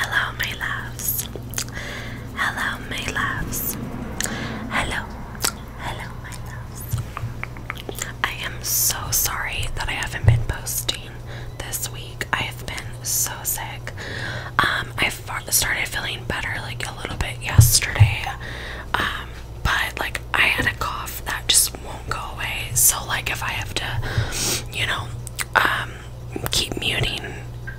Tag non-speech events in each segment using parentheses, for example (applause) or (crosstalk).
Hello, my loves. Hello, my loves. Hello, hello, my loves. I am so sorry that I haven't been posting this week. I have been so sick. Um, I started feeling better like a little bit yesterday. Um, but like I had a cough that just won't go away. So like if I have to, you know, um keep muting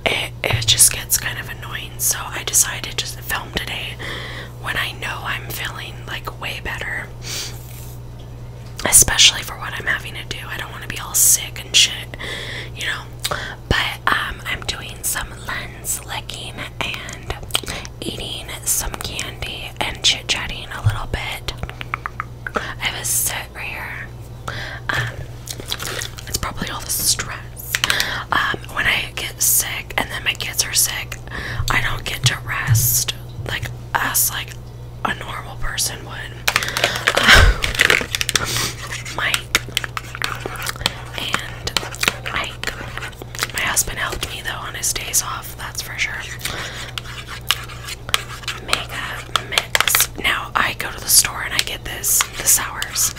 it, it just gets kind of annoying. So I decided to film today when I know I'm feeling like way better. Especially for what I'm having to do. I don't want to be all sick and shit, you know. But um, I'm doing some lens licking and eating some candy and chit-chatting a little bit. I was so um, it's probably all the stress. Um, when I get sick and then my kids are sick, I don't get to rest like us, like a normal person would. Uh, and Mike. My husband helped me though on his days off, that's for sure. Mega Mix. Now I go to the store and I get this, the sours.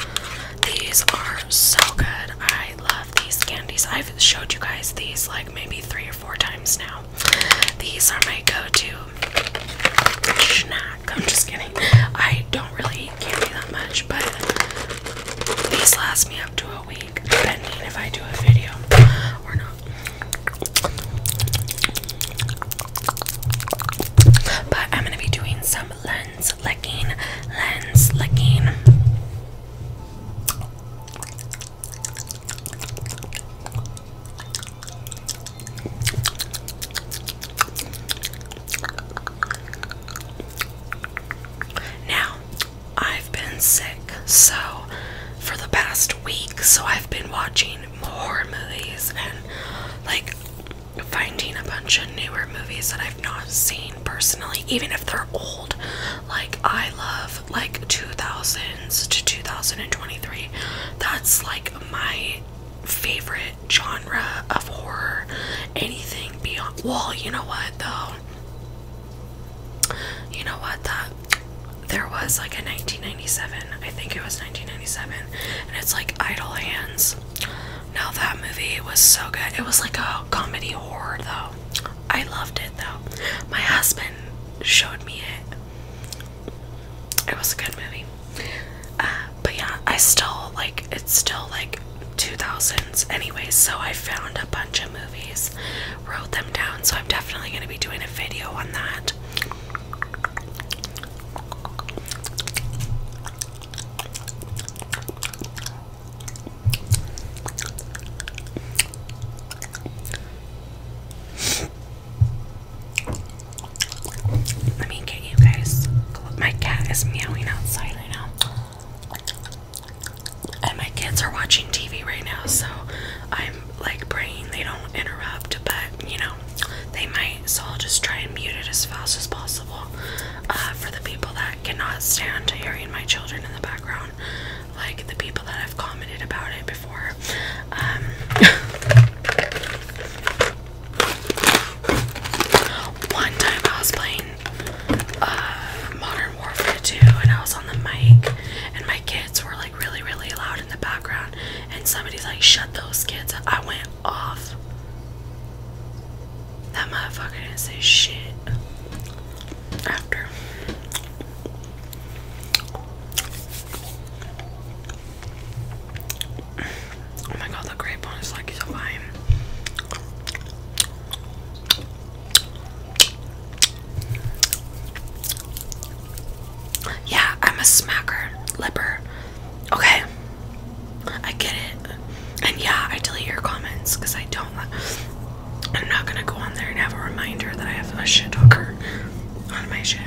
These are so good. I love these candies. I've showed you guys these like maybe three or four times now. These are my go-to snack. I'm just kidding. I don't really eat candy that much, but these last me up to a week, depending if I do a video or not. But I'm gonna be doing some lens licking, lens licking. Now, I've been sick, so for the past week, so I've been watching horror movies and like finding a bunch of newer movies that I've not seen personally, even if they're old. Like I love like 2000s to 2023. That's like my favorite genre of horror. Anything beyond well, you know what though? You know what that there was like a 1997, I think it was 1997, and it's like Idle Hands. Now that movie was so good. It was like a comedy horror though. I loved it though. My husband showed me it. It was a good movie. Uh, but yeah, I still like it's still like 2000s anyway, so I found a bunch of movies, wrote them down, so I'm definitely going to be doing a video on that. Let me get you guys. My cat is meowing outside right now. And my kids are watching TV right now, so I'm like praying they don't interrupt, but you know, they might, so I'll just try and mute it as fast as possible. Uh, for the people that cannot stand hearing my children in the background, like the people that have commented about it before. Um, (laughs) one time I was playing uh, Modern Warfare 2 and I was on the mic, and my kids were like really, really loud in the background, and somebody's like, Shut those kids up. I went off. That motherfucker didn't say shit after. Oh my god, the grape one is like so fine. Yeah, I'm a smacker, lipper. Okay, I get it. And yeah, I delete your comments because I don't. I'm not gonna go on there and have a reminder that I have a shit talker on my shit.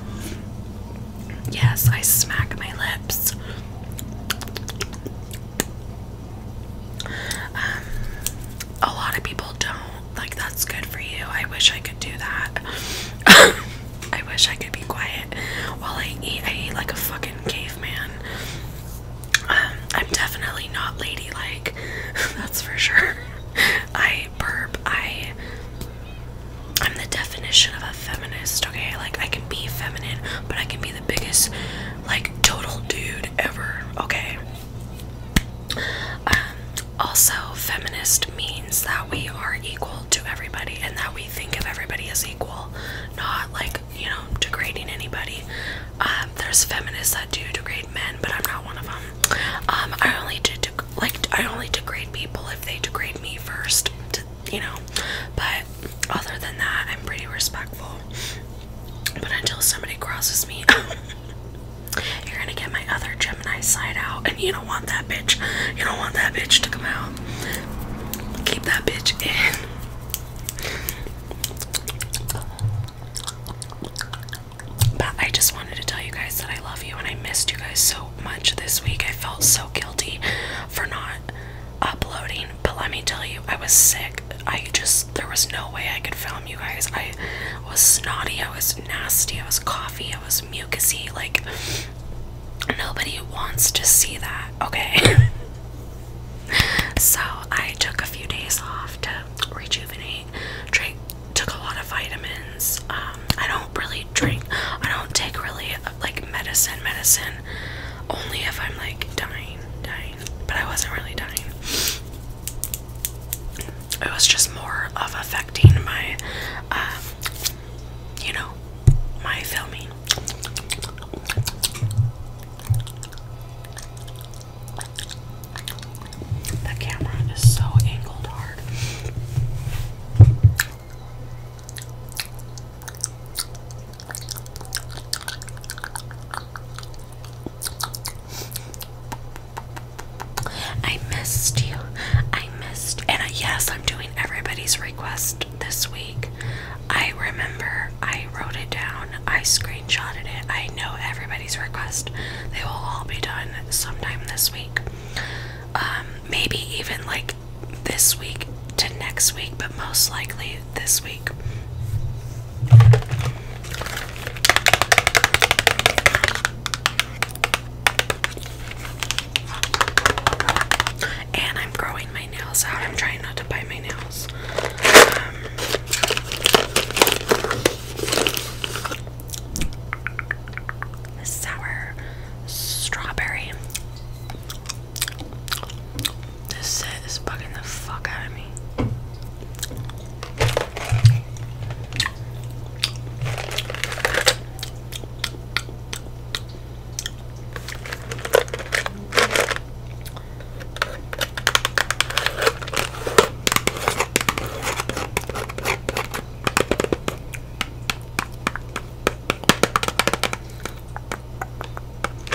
(laughs) yes, I smack my lips. Um, a lot of people don't. Like, that's good for you. I wish I could do that. (laughs) I wish I could be quiet while I eat. I eat like a fucking caveman. Um, I'm definitely not ladylike, (laughs) that's for sure. (laughs) I burp. I. I'm the definition of a feminist, okay? Like, I can be feminine, but I can be the biggest, like, total dude ever, okay? Um, also, feminist means that we are equal to everybody and that we think of everybody as equal, not like, you know, degrading anybody. Um, there's feminists that do degrade men, but I'm not one of them. Um, I only do like I only degrade people if they degrade me first, you know. But other than that, I'm pretty respectful. But until somebody crosses me. (laughs) You're gonna get my other Gemini side out, and you don't want that bitch. You don't want that bitch to come out. Keep that bitch in. But I just wanted to tell you guys that I love you and I missed you guys so much this week. I felt so guilty for not uploading, but let me tell you, I was sick. I just there was no way I could film you guys. I I was snotty, I was nasty, I was coffee, I was mucusy. Like, nobody wants to see that, okay? (laughs) so, I took a few days off to rejuvenate, drink, took a lot of vitamins. Um, I don't really drink, I don't take really like medicine, medicine only if I'm like dying, dying, but I wasn't really dying it was just more of affecting my, um, you know, my filming. The camera is so angled hard. I missed you. I missed. And yes, I'm doing everybody's request this week. I remember I wrote it down, I screenshotted it. I know everybody's request. They will all be done sometime this week. Um, maybe even like this week to next week, but most likely this week. And I'm growing my nails out. I'm trying not to bite my nails. Um, sour strawberry. This set is bugging the fuck out of me.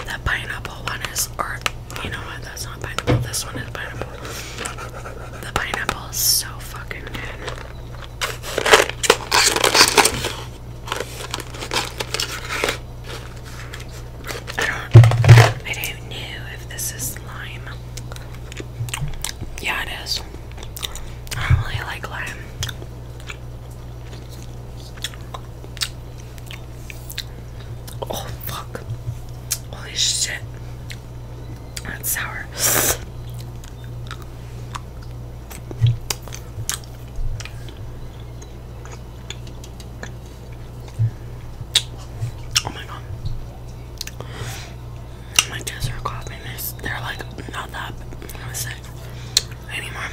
That pineapple one is, or you know what? That's not pineapple. This one is pineapple. The pineapple is so fucking good. I don't I don't know if this is lime. Yeah it is. I don't really like lime. Oh fuck. Holy shit. That's sour. Oh my god. My kids are coughing. They're like not that sick anymore.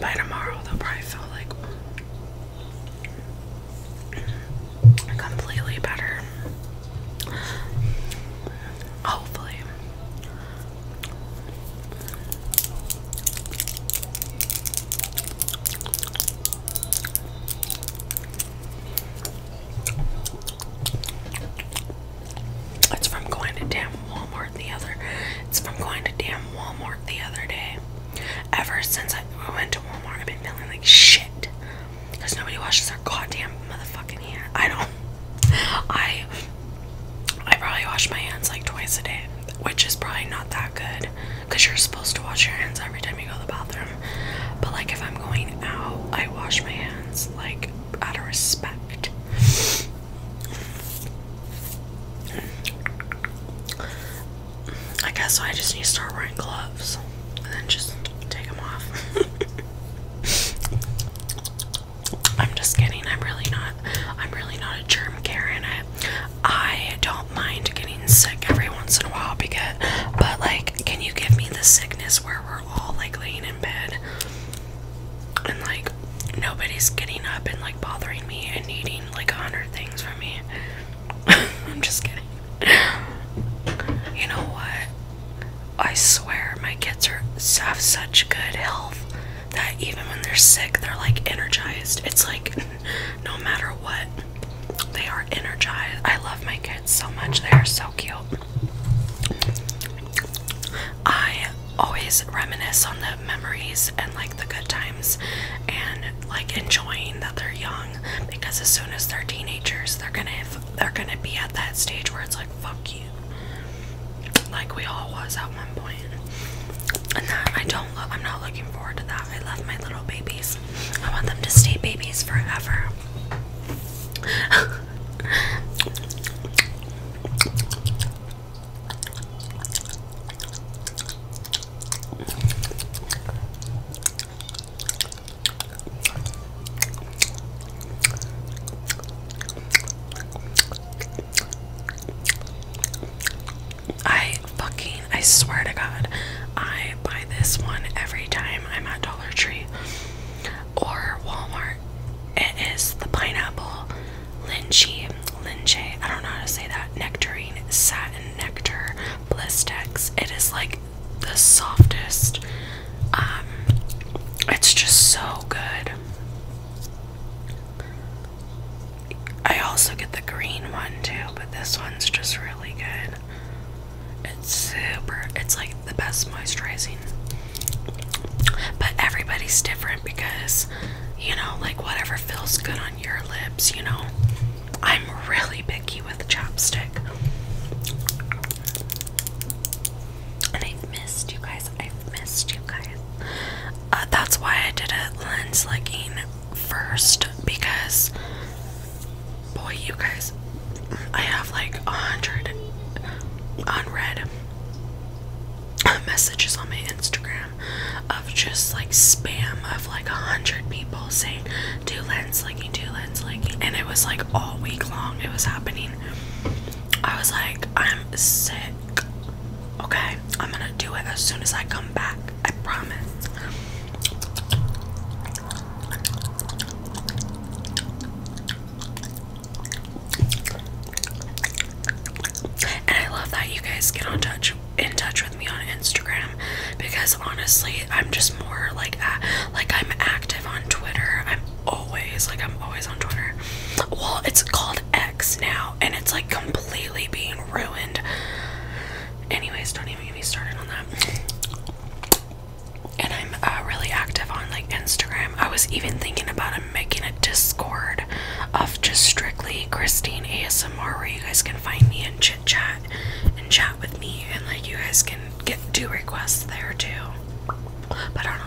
By tomorrow, they'll probably feel like completely better. Hopefully. It's from going to damn Walmart the other. It's from going to damn Walmart the other day. Ever since I went to Walmart, I've been feeling like shit because nobody washes their goddamn motherfucking hands. I don't. I I probably wash my hands like twice a day, which is probably not that good because you're supposed to wash your hands every time you go to the bathroom. But like if I'm going out, I wash my hands like out of respect. I guess I just need to start wearing gloves and then just take them off. (laughs) I'm just kidding. I'm really not. I'm really not a germ carrier. I, I don't mind getting sick every once in a while because, but like, can you give me the sickness where we're all like laying in bed and like nobody's getting up and like bothering me and needing like a hundred things from me? (laughs) I'm just kidding. You know what? I swear my kids are have such good health that even when they're sick, they're like energized. It's like (laughs) no matter what, they are energized. I love my kids so much. They are so cute. I always reminisce on the memories and like the good times and like enjoying that they're young because as soon as they're teenagers, they're gonna they're gonna be at that stage where it's like fuck you, like we all was at one point. And that I don't look I'm not looking forward to that. I love my little babies. I want them to stay babies forever. (laughs) I fucking, I swear to God, I buy this one every time I'm at Dollar Tree or Walmart. It is the pineapple lychee, lychee, I don't know how to say that, nectarine, satin nectar Blistex. It is like the softest. Um, it's just so good. I also get the green one too, but this one's just really good. It's super, it's like the best moisturizing. But everybody's different because, you know, like whatever feels good on your lips, you know. I'm really picky with chapstick. And I've missed you guys. I've missed you guys. Uh, that's why I did a lens licking first because, boy, you guys, I have like a hundred unread uh, messages on my Instagram just like spam of like a hundred people saying do lens like linking, do lens linking, and it was like all week long it was happening. I was like, I'm sick. Okay, I'm gonna do it as soon as I come back. I promise. And I love that you guys get on touch in touch with me on Instagram because honestly, I'm just more like uh, like I'm active on Twitter. I'm always like I'm always on Twitter. Well, it's called X now, and it's like completely being ruined. Anyways, don't even get me started on that. And I'm uh, really active on like Instagram. I was even thinking about making a Discord of just strictly Christine ASMR where you guys can find me and chat and chat with me, and like you guys can get do requests there too. But I don't know.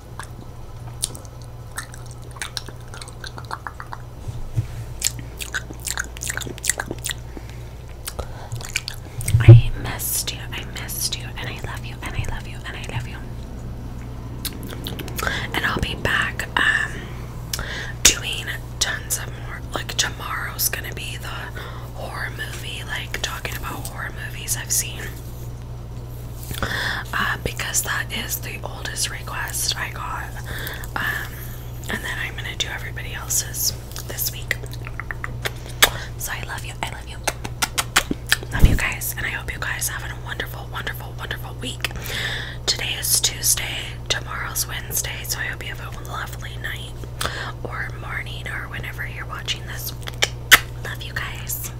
I missed you. I missed you. And I love you. And I love you. And I love you. And I'll be back um doing tons of more like tomorrow's gonna be the horror movie, like talking about horror movies I've seen. Uh, because that is the oldest request I got. Um, and then I'm gonna do everybody else's this week. So I love you. I love you. Love you guys, and I hope you guys having a wonderful, wonderful, wonderful week. Today is Tuesday, tomorrow's Wednesday, so I hope you have a lovely night or morning or whenever you're watching this. Love you guys.